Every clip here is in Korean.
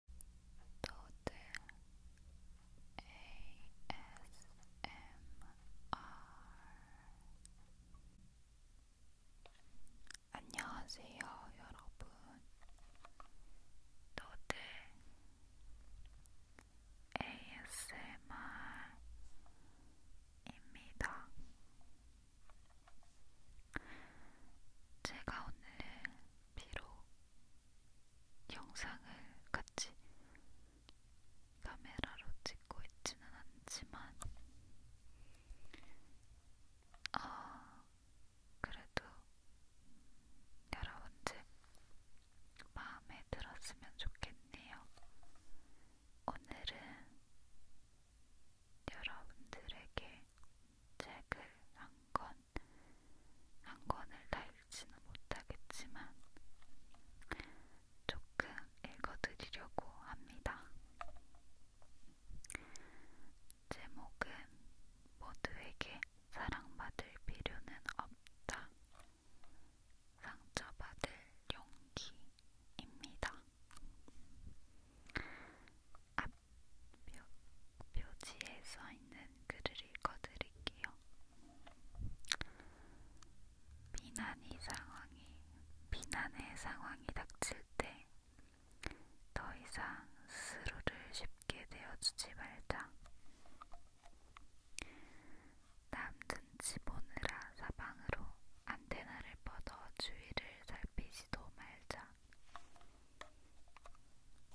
도들 ASMR 안녕하세요 여러분 도들 ASMR입니다. 제가 오늘 비록 영상을 같이 카메라로 찍고 있지는 않지만, 아, 그래도 여러분들 마음에 들었으면 좋겠네요. 오늘은 여러분들에게 책을 한권 한 권을 다 읽지는 못하겠지만 조금 읽어드리려고 합니다. 제목은 모두에게 사랑받을 필요는 없다. 상처받을 용기입니다. 앞 묘, 묘지에 써있는 글을 읽어드릴게요. 비난이 상황이, 비난의 상황이 닥칠 때 더 이상 스스로를 쉽게 내어주지 말자. 남든 집 오느라 사방으로 안테나를 뻗어 주위를 살피지도 말자.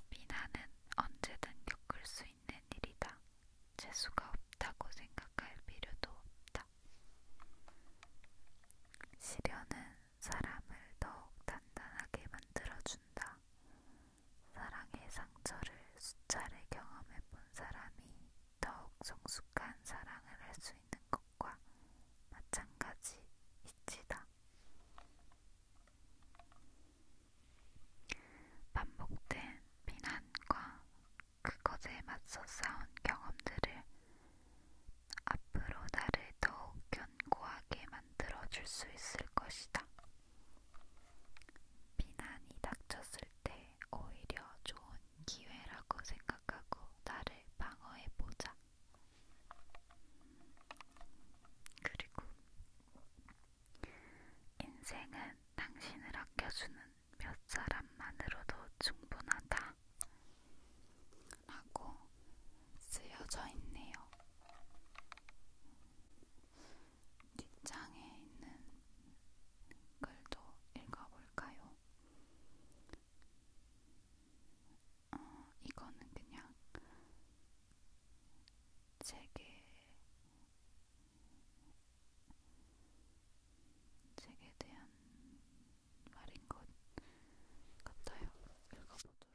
비난은 언제든 겪을 수 있는 일이다. 재수가 없다고 생각할 필요도 없다. 시련은 사람을 더욱 단단하게 만들어준다. 사랑의 상처를 수차례 경험해본 사람이 더욱 성숙한 사랑을 할 수 있는 것과 마찬가지 이치다. 반복된 비난과 그것에 맞서 싸운 경험들을 앞으로 나를 더욱 견고하게 만들어 줄 수 있을 것이다. 비난이 닥쳤을 때 오히려 좋은 기회라고 생각하고 나를 방어해 보자. 그리고 인생은 당신을 아껴주는 몇 사람만으로도 충분하다. 라고 쓰여져 있네요. 뒷장에 있는 글도 읽어볼까요? 어, 이거는 그냥 책에 책에 대한 말인 것 같아요. 읽어보도록 할게요.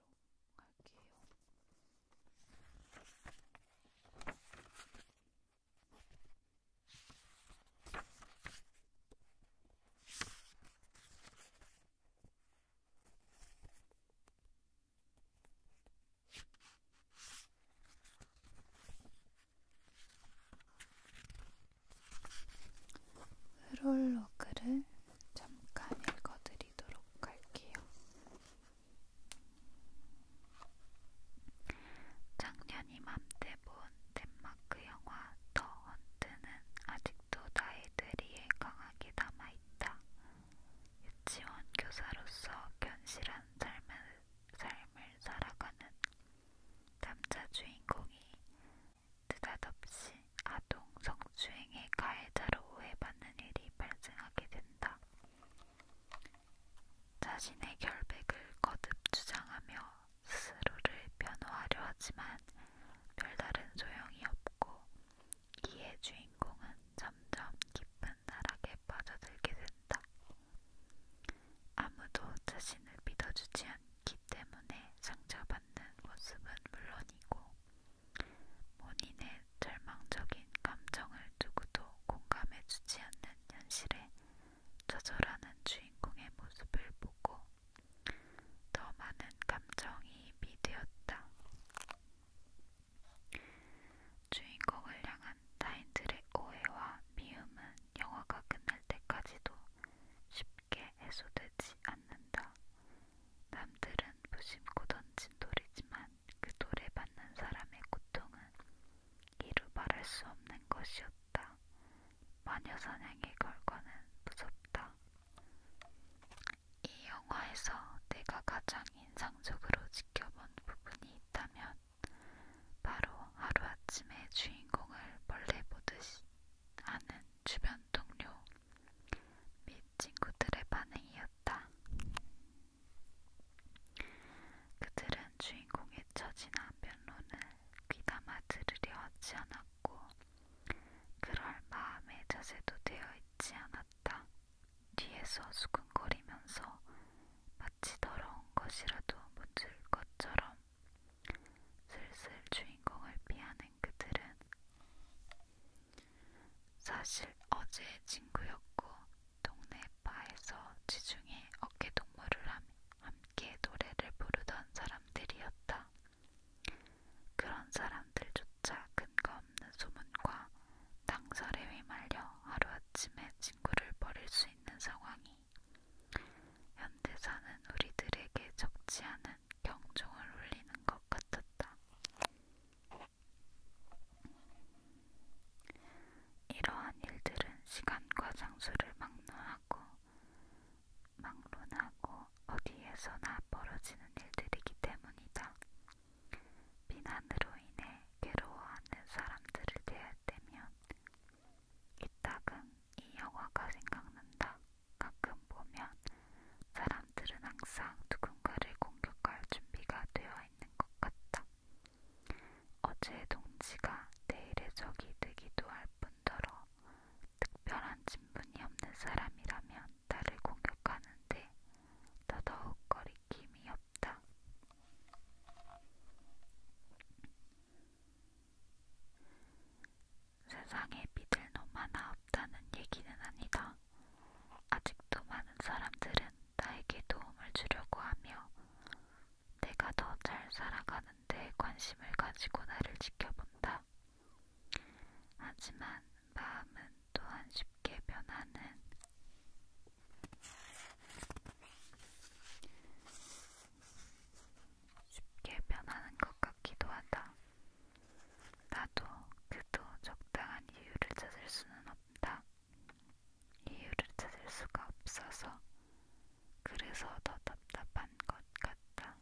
회롤로그를 잠깐 읽어드리도록 할게요. 작년 이맘때 본 덴마크 영화 더 헌트는 아직 아직도 나의 뇌리에 강하게 남아있다. 유치원 교사로서 견실한 삶을, 삶을 살아가는 남자 주인공이 느닷없이 아동 성추행의 가해자로 오해받는 일이 발생하게 된다. 자신의 결백을 거듭 주장하며 스스로를 변호하려 하지만 별다른 소용이 없고 이에 주인공은 점점 깊은 나락에 빠져들게 된다. 아무도 자신을 믿어주지 않기 때문에 상처받는 모습은 물론이고 본인의 절망적인 감정을 누구도 공감해주지 않는 현실에 좌절하는 주인공의 모습을 보고 더 많은 감정이입이 되었다. 주인공을 향한 타인들의 오해와 미움은 영화가 끝날 때까지도 쉽게 해소되지 않는다. 남들은 무심코 던진 돌이지만 그 돌에 받는 사람의 고통은 이루 말할 수 없는 것이었다. 마녀사냥의 결과는 무섭다. 이 영화에서 내가 가장 인상적으로 지켜본 부분이 있다면 바로 하루아침에 주인공을 벌레 보듯이 아는 주변 동료 및 친구들의 반응이었다. 그들은 주인공의 처지나 변론을 귀담아 들으려 하지 않았고 없고 그럴 마음의 자세도 되어 있지 않았다. 뒤에서 수근거리면서 마치 더러운 것이라도 묻을 것처럼 슬슬 주인공을 피하는 그들은 사실 어제 친구였고 동네 바에서 지중해 어깨동무를 함께 노래를 부르던 사람들이었다. 그런 사람들조차 근거 없는 소문과 낭설에 휘말려 하루아침에 친구를 버릴 수 있는 상황이 현대사는 우리들에게 적지 않은 경종을 울리는 것 같았다. 이러한 일들은 시간과 장소를 막론하고 막론하고 어디에서나 벌어지는 일들이기 때문이다. 비난으로 인해 괴로워하는 사람들을 대할 때면 이따금 이 영화가 생각난다. 가끔 보면 사람들은 항상 누군가를 공격할 준비가 되어 있는 것 같다. 어제의 동지가 내일의 적이 되기도 할 뿐더러 특별한 친분이 없는 사람이라면 나를 공격하는데 더더욱 거리낌이 없다. 세상에 믿을 놈 하나 없다는 얘기는 아니다. 아직도 많은 사람들은 나에게 도움을 주려고 하며 내가 더 잘 살아가는데 관심을 가지고 나를 지켜본다. 있다. 하지만 마음은 또한 쉽게 변하는 쉽게 변하는 것 같기도 하다. 나도 그도 적당한 이유를 찾을 수는 없다. 이유를 찾을 수가 없어서 그래서 더 답답한 것 같다.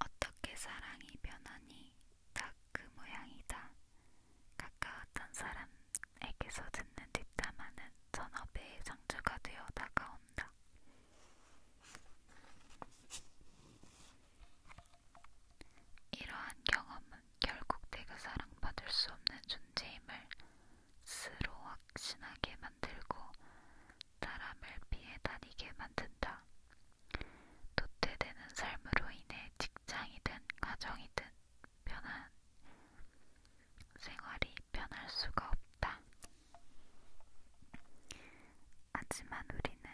어떻게 사랑이 변하니 딱 그 모양이다. 가까웠던 사람에게서 듣는 뒷담화는 전업의 상처가 되어 다가온다. 이러한 경험은 결국 내가 사랑받을 수 없는 존재임을 스스로 확신하게 만들고 사람을 피해 다니게 만든다. 도태되는 삶으로 인해 직장이든 가정이든 변한 생활이 변할 수가 없다. 하지만 우리는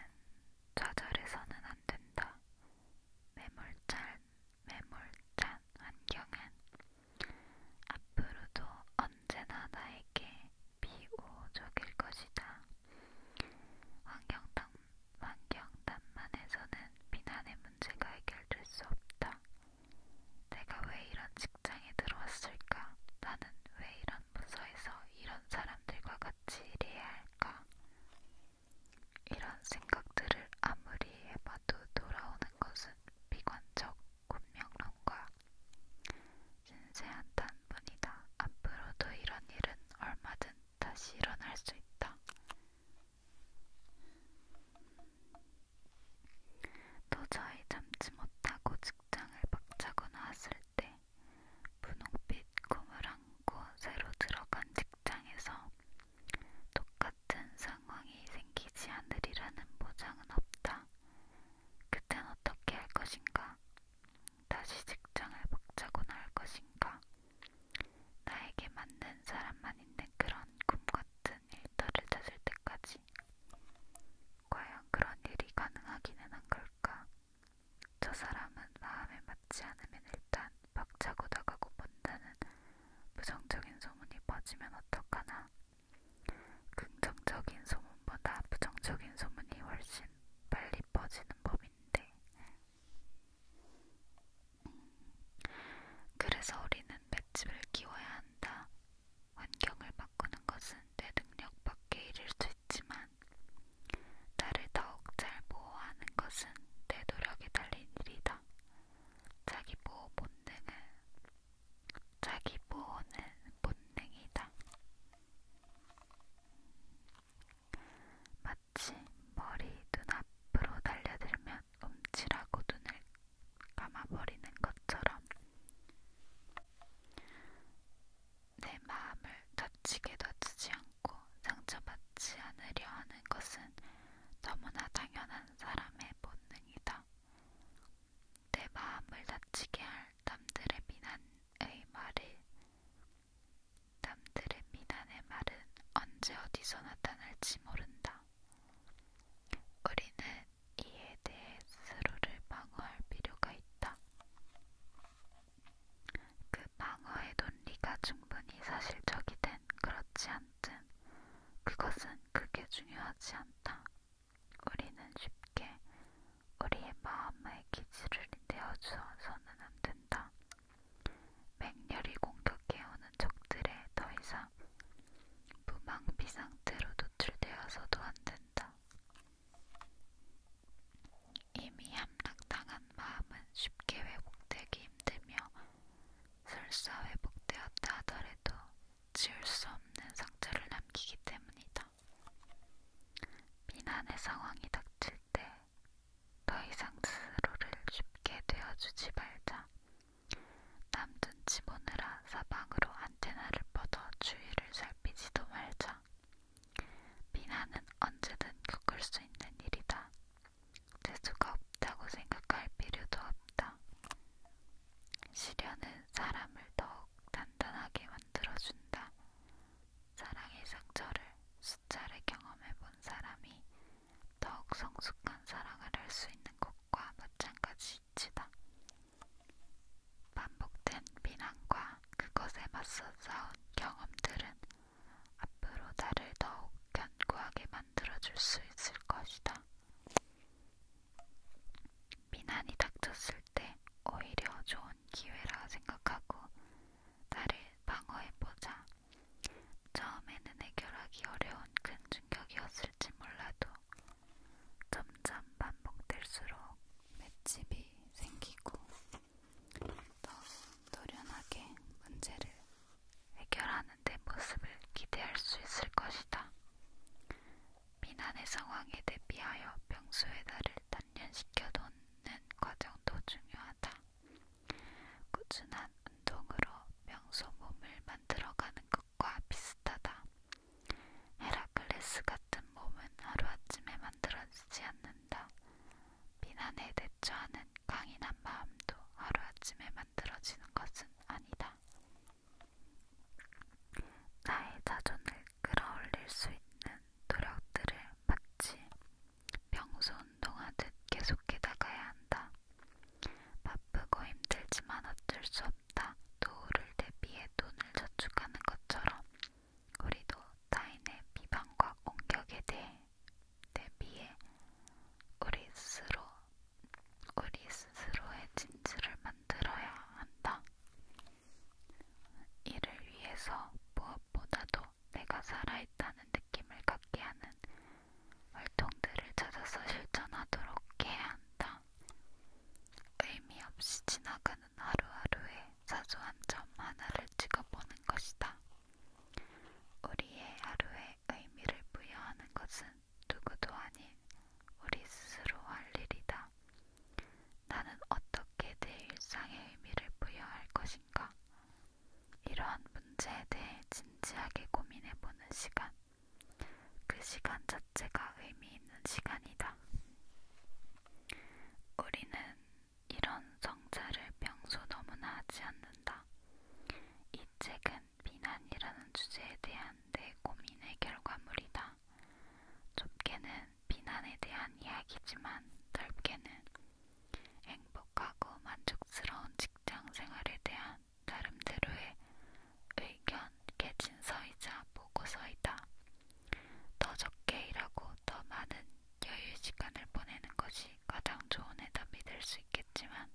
좌절해서는 안 된다. 매몰찬, 매몰찬 환경은 앞으로도 어느 언제나 나에게 비호적일 것이다. 환경단, 환경단만에서는 비난의 문제가 해결될 수 없다. 내가 왜 이런 직장에 들어왔을까? 나는 왜 이런 부서에서 이런 사람들과 같이 일해야 할까? 이런 생각들을 아무리 해봐도 돌아오는 것은 비관적 운명론과 진세한 단분이다. 앞으로도 이런 일은 얼마든 다시 일어날 수 있다. 도저히 참지 못하고 직장을 박차고 나왔을 때 분홍빛 꿈을 안고 새로 들어간 직장에서 똑같은 상황이 생기지 않으리라는 보장은 없다. 그땐 어떻게 할 것인가? 다시 직장을 박차고 나올 것인가? 나에게 맞는 사람만 있는 그런 꿈같은 일터를 찾을 때까지 과연 그런 일이 가능하기는 한 걸까? 저 사람은 마음에 맞지 않으면 일단 박차고 나가고 본다는 부정적인 소문이 퍼지면 어떡하나 긍정적인 소문보다 부정적인 소문이 훨씬 빨리 퍼지는 법인데, 음, 그래서 우리는 맷집을 키워야 한다. 환경을 바꾸는 것은 내 능력 밖에 이를 수 있지만, 나를 더욱 잘 보호하는 것은 내 노력에 달린 일이다. 자기 보호 본능을 자기 보호는 본능이다. 마치 머리 눈앞으로 달려들면 움찔하고 눈을 감아버리는 것처럼 내 마음을 다치게 다치지 않고 상처받지 않으려 하는 것은 너무나 당연한 사람의 본능이다. 내 마음을 다치게 할 남들의 비난의 말을 남들의 비난의 말은 언제 어디서 나타날지 모른다. 우리는 이에 대해 스스로를 방어할 필요가 있다. 그 방어의 논리가 충분히 사실적이든 그렇지 않든 그것은 크게 중요하지 않다. 우리는 쉽게 우리의 마음의 기지를 내어주어서는 안 된다. 맹렬히 공격해오는 적들에 더 이상 무방비 상태로 노출되어서도 안 된다. 이미 함락당한 마음은 쉽게 회복되기 힘들며 설사 회복되었다 하더라도 지울 수 없는 상처를 남기기 때문이다. 비난의 상황이 닥칠 때 더 이상 스스로를 쉽게 되어주지 말자. 남든지 모느라 사방으로 안테나를 뻗어 주위를 살피지도 말자. 비난은 언제든 겪을 수 있는 일이다. 재수가 없다고 생각할 필요도 없다. 시련은 사람을 더욱 단단하게 만들어준다. 사랑의 상처를 수차례 경험해본 사람이 더욱 성숙한 사랑을 할 수 있는 것과 마찬가지이다. 반복된 비난과 그것에 맞서 싸운 경험들은 앞으로 나를 더욱 견고하게 만들어줄 수 있을 것이다. 비난이 닥쳤을 때 오히려 좋은 기회라 생각하고 나를 방어해보자. 처음에는 해결하기 어려운 큰 충격이었을지 몰라도 점점 반복될수록 맷집이 생기고 더 노련하게 문제를 해결하는 데 모습을 기대할 수 있을 것이다. 피난의 상황에 대비하여 병수의 나를 단련시켜 놓는 과정도 중요하다. 꾸준한 운동으로 명소 몸을 만들어가는 것과 비슷하다. 헤라클레스 같은 몸은 하루아침에 만들어지지 않는다. 비난에 대처하는 강인한 마음도 하루아침에 만들어지는 것은 아니다. 나의 자존을 끌어올릴 수 있는 노력들을 마치 평소 운동하듯 계속해 나가야 한다. 바쁘고 힘들지만 어쩔 수 없다. 노후를 대비해 돈을 저축하는 것처럼 우리도 타인의 비방과 공격에 대해 대비해 우리 스스로 우리 스스로의 진실을 만들어야 한다. 이를 위해서 무엇보다도 내가 살아있다는 느낌을 갖게 하는 활동들을 찾아서 실천하도록 해야 한다. 의미 없이 지나가는 하루하루의 사소한 점 하나를 찍어보는 것이다. 우리의 하루에 의미를 부여하는 것은 누구도 아닌 우리 스스로 할 일이다. 나는 어떻게 내 일상의 의미를 부여할 것인가? 이러한 문제에 대해 진지하게 고민해보는 시간. 그 시간 자체가 의미 있는 시간이다. 우리는 이런 성찰을 평소 너무나 하지 않는다. 이 책은 비난이라는 주제에 대한 내 고민의 결과물이다. 있습니다. 좁게는 비난에 대한 이야기지만 넓게는 행복하고 만족스러운 직장 생활에 대한 나름대로의 의견, 개진서이자 보고서이다. 더 적게 일하고 더 많은 여유 시간을 보내는 것이 가장 좋은 해답이 될 수 있겠지만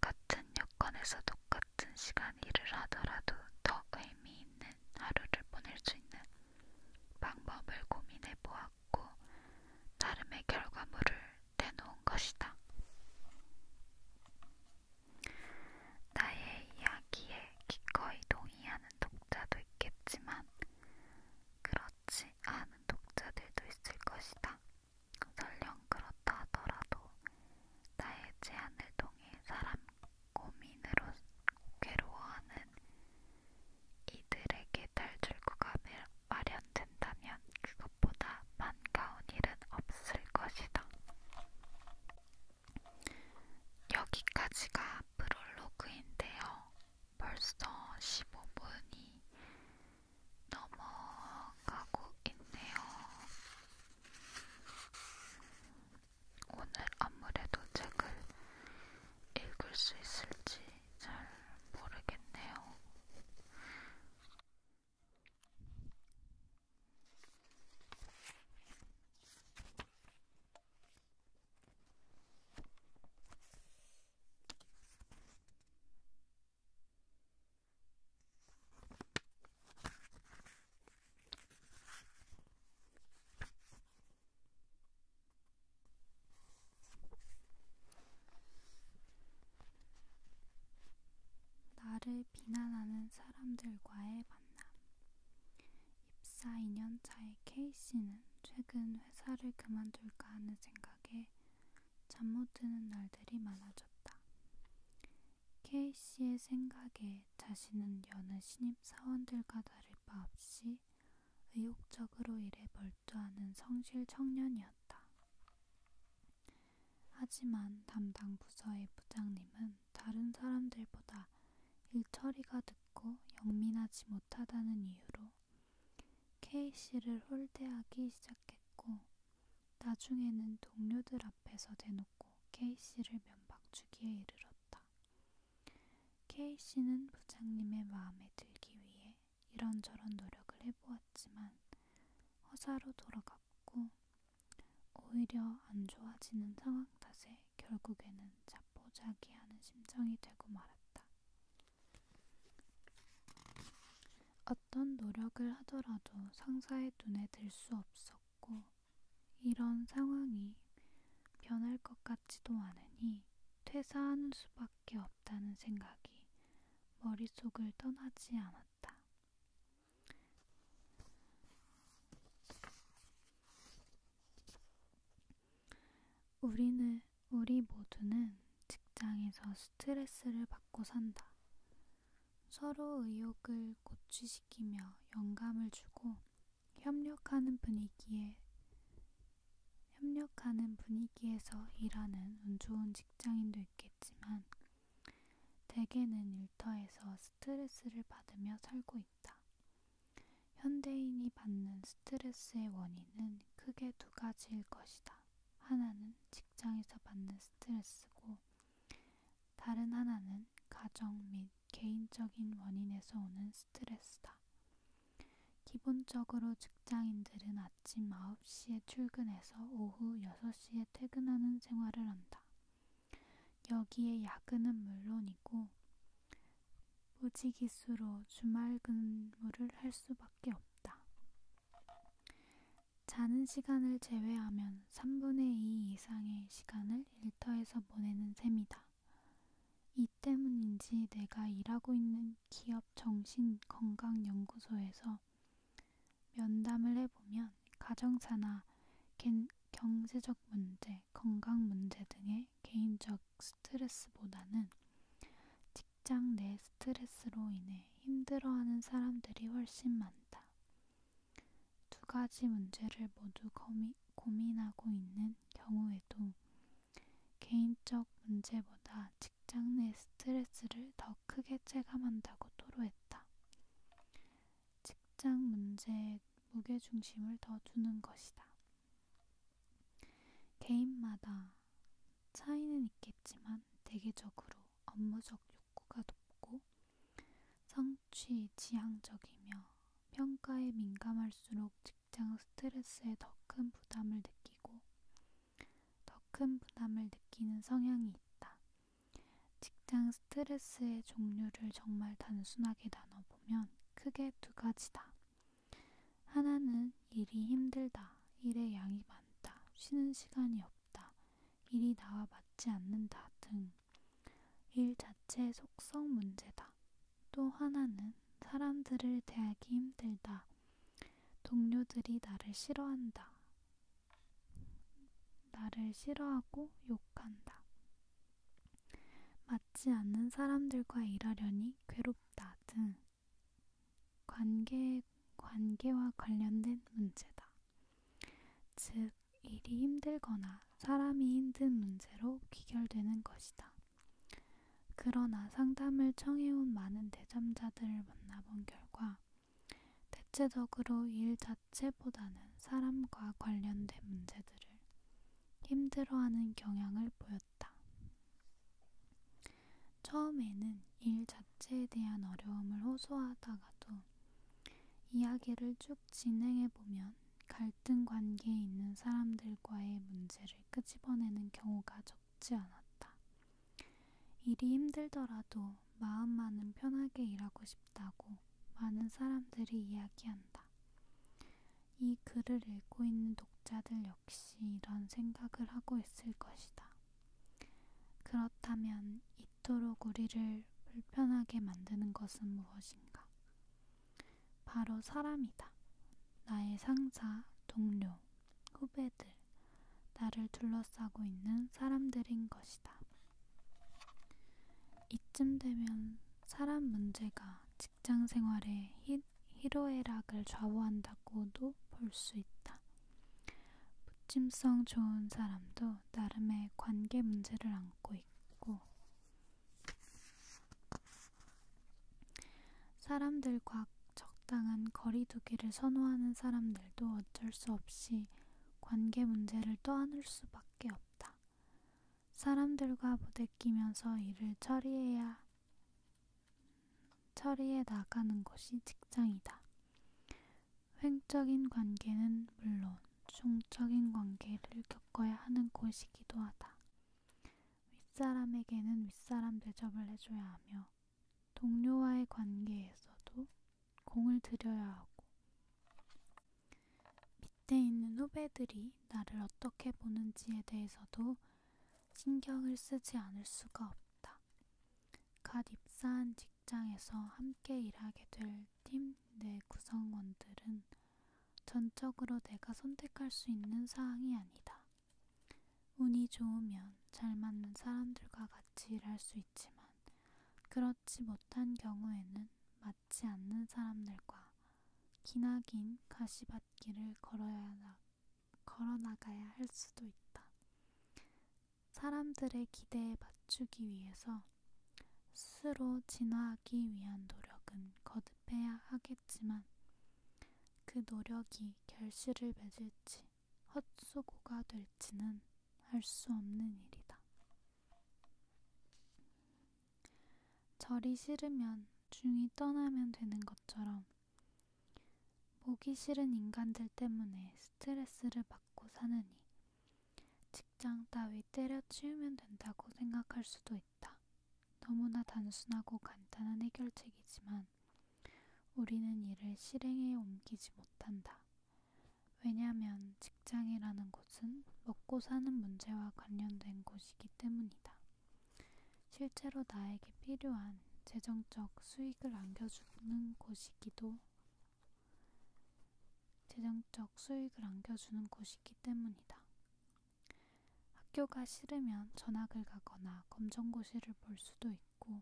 똑같은 여건에서 똑같은 시간 일을 하더라도 더 의미 있는 하루를 보낼 수 있는 방법을 고민해 보았고 나름의 결과물을 내놓은 것이다. 나의 이야기에 기꺼이 동의하는 독자도 있겠지만 그렇지 않은 독자들도 있을 것이다. 설령 그렇다 하더라도 나의 제안을 통해 사람 고민으로 괴로워하는 이들에게 탈출구가 마련된다면 그것보다 반가운 일은 없을 것이다. 여기까지가 프롤로그인데요. 벌써 15분이 넘어가고 있네요. 오늘 아무래도 책을 읽을 수 있을지 잘 모르겠네요. 나를 비난하는 사람들과의 만남. 입사 2년 차의 케이씨는 최근 회사를 그만둘까 하는 생각에 잠 못 드는 날들이 많아졌다. 케이 씨의 생각에 자신은 여느 신입 사원들과 다를 바 없이 의욕적으로 일에 몰두하는 성실 청년이었다. 하지만 담당 부서의 부장님은 다른 사람들보다 일처리가 늦고 영민하지 못하다는 이유로 케이 씨를 홀대하기 시작했고 나중에는 동료들 앞에서 대놓고 케이씨를 면박주기에 이르렀다. 케이씨는 부장님의 마음에 들기 위해 이런저런 노력을 해보았지만 허사로 돌아갔고 오히려 안 좋아지는 상황 탓에 결국에는 자포자기하는 심정이 되고 말았다. 어떤 노력을 하더라도 상사의 눈에 들 수 없었고 같고 이런 상황이 변할 것 같지도 않으니 퇴사하는 수밖에 없다는 생각이 머릿속을 떠나지 않았다. 우리는 우리 모두는 직장에서 스트레스를 받고 산다. 서로 의욕을 고취시키며 영감을 주고 협력하는 분위기에 협력하는 분위기에서 일하는 운 좋은 직장인도 있겠지만 대개는 일터에서 스트레스를 받으며 살고 있다. 현대인이 받는 스트레스의 원인은 크게 두 가지일 것이다. 하나는 직장에서 받는 스트레스고 다른 하나는 가정 및 개인적인 원인에서 오는 스트레스다. 기본적으로 직장인들은 아침 9시에 출근해서 오후 6시에 퇴근하는 생활을 한다. 여기에 야근은 물론이고 무지기수로 주말 근무를 할 수밖에 없다. 자는 시간을 제외하면 3분의 2 이상의 시간을 일터에서 보내는 셈이다. 이 때문인지 내가 일하고 있는 기업 정신건강연구소에서 면담을 해보면 가정사나 겐, 경제적 문제, 건강 문제 등의 개인적 스트레스보다는 직장 내 스트레스로 인해 힘들어하는 사람들이 훨씬 많다. 두 가지 문제를 모두 고미, 고민하고 있는 경우에도 개인적 문제보다 직장 내 스트레스를 더 크게 체감한다고 토로했다. 직장 문제에 무게중심을 더 두는 것이다. 개인마다 차이는 있겠지만 대개적으로 업무적 탁구가 높고 성취 지향적이며 평가에 민감할수록 직장 스트레스에 더 큰 부담을 느끼고 더 큰 부담을 느끼는 성향이 있다. 직장 스트레스의 종류를 정말 단순하게 나눠보면 크게 두 가지다. 하나는 일이 힘들다, 일의 양이 많다, 쉬는 시간이 없다, 일이 나와 맞지 않는다 등 일 자체의 속성 문제다. 또 하나는 사람들을 대하기 힘들다. 동료들이 나를 싫어한다. 나를 싫어하고 욕한다. 맞지 않는 사람들과 일하려니 괴롭다 등 관계, 관계와 관련된 문제다. 즉, 일이 힘들거나 사람이 힘든 문제로 귀결되는 것이다. 그러나 상담을 청해온 많은 대담자들을 만나본 결과 대체적으로 일 자체보다는 사람과 관련된 문제들을 힘들어하는 경향을 보였다. 처음에는 일 자체에 대한 어려움을 호소하다가도 이야기를 쭉 진행해 보면 갈등 관계에 있는 사람들과의 문제를 끄집어내는 경우가 적지 않았다. 일이 힘들더라도 마음만은 편하게 일하고 싶다고 많은 사람들이 이야기한다. 이 글을 읽고 있는 독자들 역시 이런 생각을 하고 있을 것이다. 그렇다면 이토록 우리를 불편하게 만드는 것은 무엇인가? 바로 사람이다. 나의 상사, 동료, 후배들, 나를 둘러싸고 있는 사람들인 것이다. 이쯤 되면 사람 문제가 직장 생활의 희로애락을 좌우한다고도 볼 수 있다. 무침성 좋은 사람도 나름의 관계 문제를 안고 있고, 사람들과 적당한 거리두기를 선호하는 사람들도 어쩔 수 없이 관계 문제를 떠안을 수밖에 없다. 사람들과 부대끼면서 일을 처리해야 처리해 나가는 것이 직장이다. 횡적인 관계는 물론 중적인 관계를 겪어야 하는 곳이기도 하다. 윗사람에게는 윗사람 대접을 해줘야 하며 동료와의 관계에서도 공을 들여야 하고 밑에 있는 후배들이 나를 어떻게 보는지에 대해서도 신경을 쓰지 않을 수가 없다. 갓 입사한 직 직장에서 함께 일하게 될 팀 내 구성원들은 전적으로 내가 선택할 수 있는 사항이 아니다. 운이 좋으면 잘 맞는 사람들과 같이 일할 수 있지만 그렇지 못한 경우에는 맞지 않는 사람들과 기나긴 가시밭길을 걸어야 나, 걸어나가야 할 수도 있다. 사람들의 기대에 맞추기 위해서 스스로 진화하기 위한 노력은 거듭해야 하겠지만 그 노력이 결실을 맺을지 헛수고가 될지는 알 수 없는 일이다. 절이 싫으면 중이 떠나면 되는 것처럼 보기 싫은 인간들 때문에 스트레스를 받고 사느니 직장 따위 때려치우면 된다고 생각할 수도 있다. 너무나 단순하고 간단한 해결책이지만 우리는 이를 실행에 옮기지 못한다. 왜냐하면 직장이라는 곳은 먹고 사는 문제와 관련된 곳이기 때문이다. 실제로 나에게 필요한 재정적 수익을 안겨주는 곳이기도 재정적 수익을 안겨주는 곳이기 때문이다. 학교가 싫으면 전학을 가거나 검정고시를 볼 수도 있고,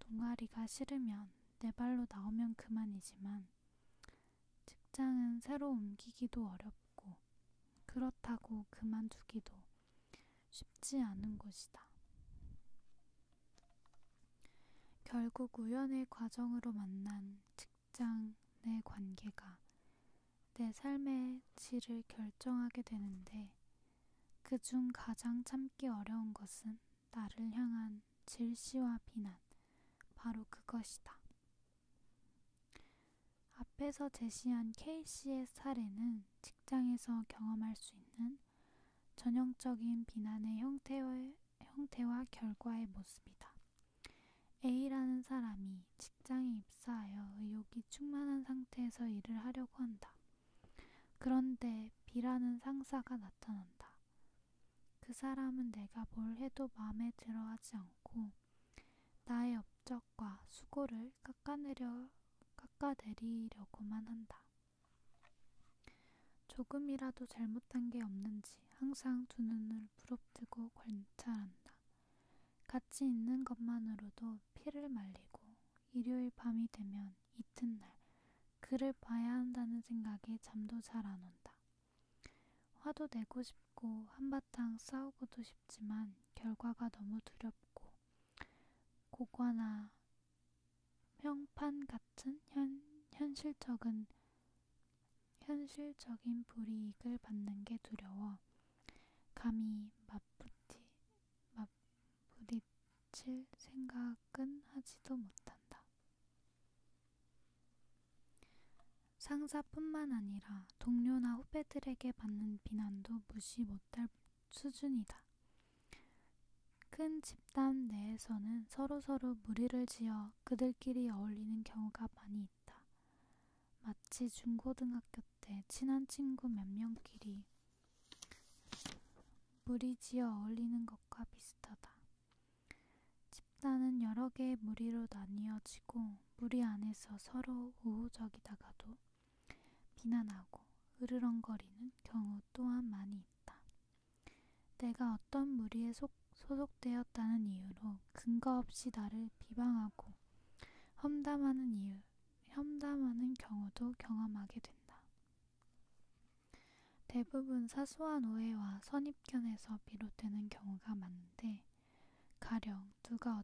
동아리가 싫으면 내 발로 나오면 그만이지만, 직장은 새로 옮기기도 어렵고, 그렇다고 그만두기도 쉽지 않은 곳이다. 결국 우연의 과정으로 만난 직장 내 관계가 내 삶의 질을 결정하게 되는데 그중 가장 참기 어려운 것은 나를 향한 질시와 비난, 바로 그것이다. 앞에서 제시한 K씨의 사례는 직장에서 경험할 수 있는 전형적인 비난의 형태의, 형태와 결과의 모습이다. A라는 사람이 직장에 입사하여 의욕이 충만한 상태에서 일을 하려고 한다. 그런데 B라는 상사가 나타난다. 그 사람은 내가 뭘 해도 마음에 들어 하지 않고 나의 업적과 수고를 깎아내려, 깎아내리려고만 한다. 조금이라도 잘못한 게 없는지 항상 두 눈을 부릅뜨고 관찰한다. 같이 있는 것만으로도 피를 말리고 일요일 밤이 되면 이튿날 그를 봐야 한다는 생각에 잠도 잘 안 온다. 화도 내고 싶고 한바탕 싸우고도 싶지만 결과가 너무 두렵고 고거나 평판 같은 현, 현실적인, 현실적인 불이익을 받는 게 두려워 감히 맞붙이, 맞부딪힐 생각은 하지도 못한다. 상사뿐만 아니라 동료나 후배들에게 받는 비난도 무시 못할 수준이다. 큰 집단 내에서는 서로서로 무리를 지어 그들끼리 어울리는 경우가 많이 있다. 마치 중고등학교 때 친한 친구 몇 명끼리 무리 지어 어울리는 것과 비슷하다. 집단은 여러 개의 무리로 나뉘어지고 무리 안에서 서로 우호적이다가도 비난하고 으르렁거리는 경우 또한 많이 있다. 있다. 내가 어떤 무리에 속, 소속되었다는 이유로 근거 없이 나를 비방하고 험담하는 이유, 험담하는 경우도 경험하게 된다. 대부분 사소한 오해와 선입견에서 비롯되는 경우가 많은데 가령 누가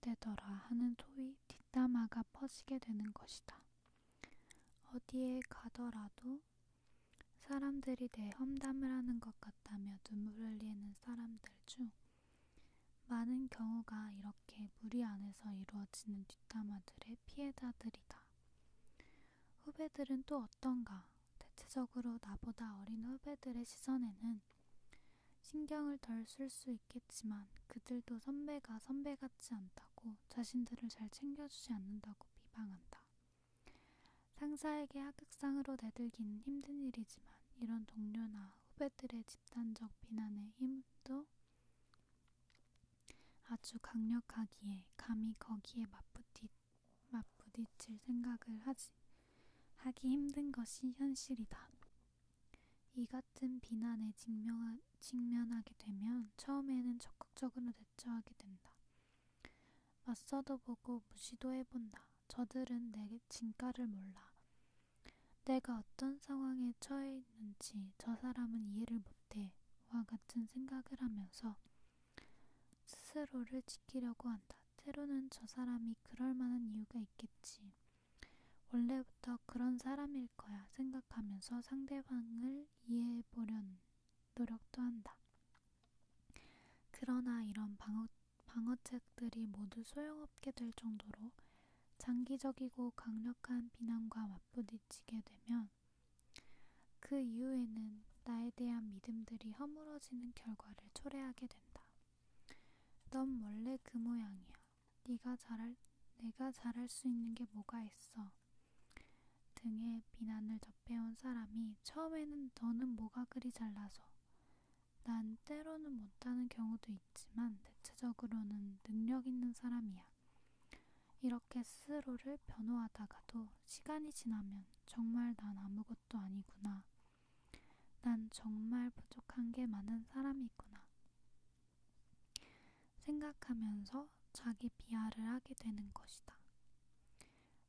어쨌되더라 하는 소위 뒷담화가 퍼지게 되는 것이다. 어디에 가더라도 사람들이 내 험담을 하는 것 같다며 눈물을 흘리는 사람들 중 많은 경우가 이렇게 무리 안에서 이루어지는 뒷담화들의 피해자들이다. 후배들은 또 어떤가? 대체적으로 나보다 어린 후배들의 시선에는 신경을 덜 쓸 수 있겠지만 그들도 선배가 선배 같지 않다고 않고 자신들을 잘 챙겨주지 않는다고 비방한다. 상사에게 하극상으로 내들기는 힘든 일이지만 이런 동료나 후배들의 집단적 비난의 힘도 아주 강력하기에 감히 거기에 맞부딪, 맞부딪힐 생각을 하지 하기 힘든 것이 현실이다. 이 같은 비난에 직명하, 직면하게 되면 처음에는 적극적으로 대처하게 된다. 맞서도 보고 무시도 해본다. 저들은 내 진가를 몰라. 내가 어떤 상황에 처해 있는지 저 사람은 이해를 못해. 와 같은 생각을 하면서 스스로를 지키려고 한다. 때로는 저 사람이 그럴 만한 이유가 있겠지. 원래 옛날부터 그런 사람일 거야 생각하면서 상대방을 이해해보려는 노력도 한다. 그러나 이런 방어, 방어책들이 모두 소용없게 될 정도로 장기적이고 강력한 비난과 맞부딪히게 되면 그 이후에는 나에 대한 믿음들이 허물어지는 결과를 초래하게 된다. 넌 원래 그 모양이야. 네가 잘할 내가 잘할 수 있는 게 뭐가 있어? 등의 비난을 접해온 사람이 처음에는 너는 뭐가 그리 잘나서 난 때로는 못하는 경우도 있지만 대체적으로는 능력 있는 사람이야. 이렇게 스스로를 변호하다가도 시간이 지나면 정말 난 아무것도 아니구나. 난 정말 부족한 게 많은 사람이구나. 생각하면서 자기 비하를 하게 되는 것이다.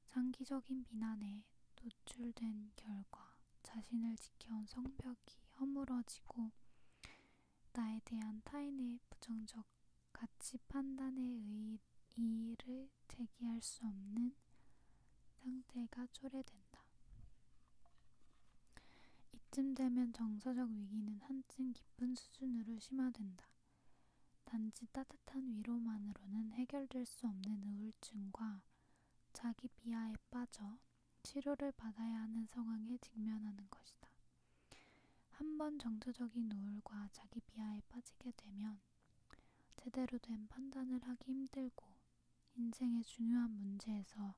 장기적인 비난에 노출된 결과 자신을 지켜온 성벽이 허물어지고 나에 대한 타인의 부정적 가치 판단에 의해 이의를 제기할 수 없는 상태가 초래된다. 이쯤 되면 정서적 위기는 한층 깊은 수준으로 심화된다. 단지 따뜻한 위로만으로는 해결될 수 없는 우울증과 자기 비하에 빠져 치료를 받아야 하는 상황에 직면하는 것이다. 한 번 정서적인 우울과 자기 비하에 빠지게 되면 제대로 된 판단을 하기 힘들고 인생의 중요한 문제에서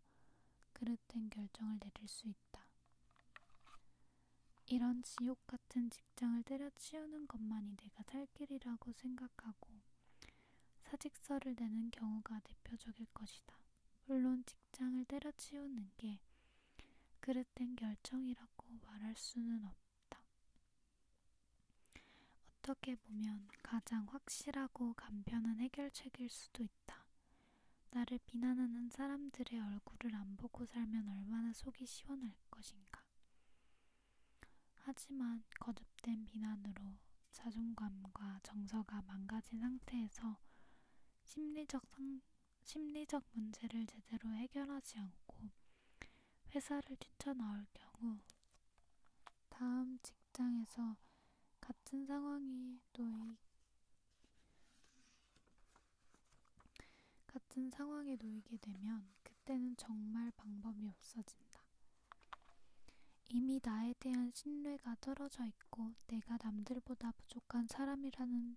잘못된 결정을 내릴 수 있다. 이런 지옥 같은 직장을 때려치우는 것만이 내가 살 길이라고 생각하고 사직서를 내는 경우가 대표적일 것이다. 물론 직장을 때려치우는 게 그릇된 결정이라고 말할 수는 없다. 어떻게 보면 가장 확실하고 간편한 해결책일 수도 있다. 나를 비난하는 사람들의 얼굴을 안 보고 살면 얼마나 속이 시원할 것인가. 하지만 거듭된 비난으로 자존감과 정서가 망가진 상태에서 심리적, 상, 심리적 문제를 제대로 해결하지 않고 회사를 뛰쳐나올 경우 다음 직장에서 같은 상황이 노이, 같은 상황에 놓이게 되면 그때는 정말 방법이 없어진다. 이미 나에 대한 신뢰가 떨어져 있고 내가 남들보다 부족한 사람이라는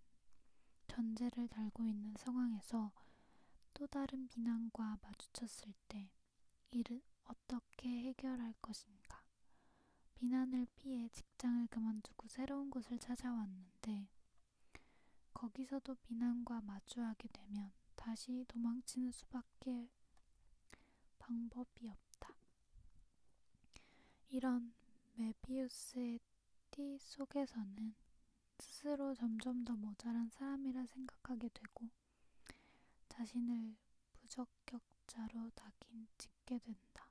전제를 달고 있는 상황에서 또 다른 비난과 마주쳤을 때 이를 어떻게 해결할 것인가? 비난을 피해 직장을 그만두고 새로운 곳을 찾아왔는데 거기서도 비난과 마주하게 되면 다시 도망치는 수밖에 방법이 없다. 이런 메비우스의 띠 속에서는 스스로 점점 더 모자란 사람이라 생각하게 되고 자신을 부적격자로 낙인 찍게 된다.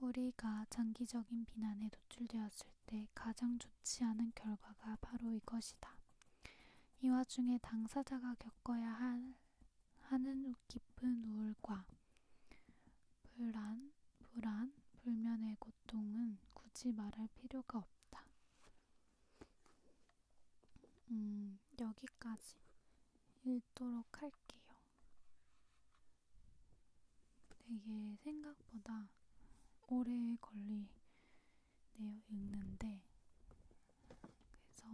우리가 장기적인 비난에 노출되었을 때 가장 좋지 않은 결과가 바로 이것이다. 이 와중에 당사자가 겪어야 할, 하는 깊은 우울과 불안, 불안, 불면의 고통은 굳이 말할 필요가 없다. 음, 여기까지. 읽도록 할게요. 되게 생각보다 오래 걸리네요, 읽는데. 그래서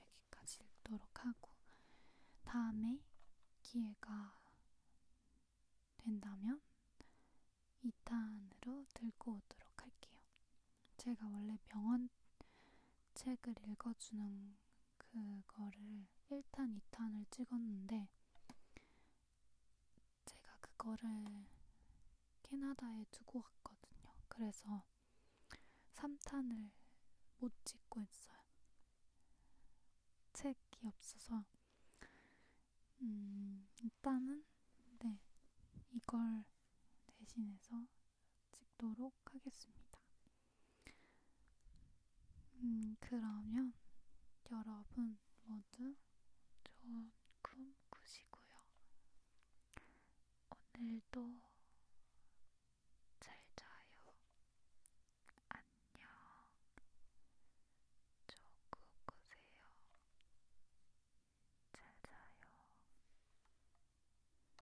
여기까지 읽도록 하고, 다음에 기회가 된다면 2탄으로 들고 오도록 할게요. 제가 원래 명언 책을 읽어주는 그거를 1탄, 2탄을 찍었는데 제가 그거를 캐나다에 두고 갔거든요. 그래서 3탄을 못 찍고 있어요. 책이 없어서 음, 일단은 네 이걸 대신해서 찍도록 하겠습니다. 음, 그러면 여러분 모두 좋은 꿈 꾸시고요. 오늘도 잘 자요. 안녕. 조금 꾸세요. 잘 자요.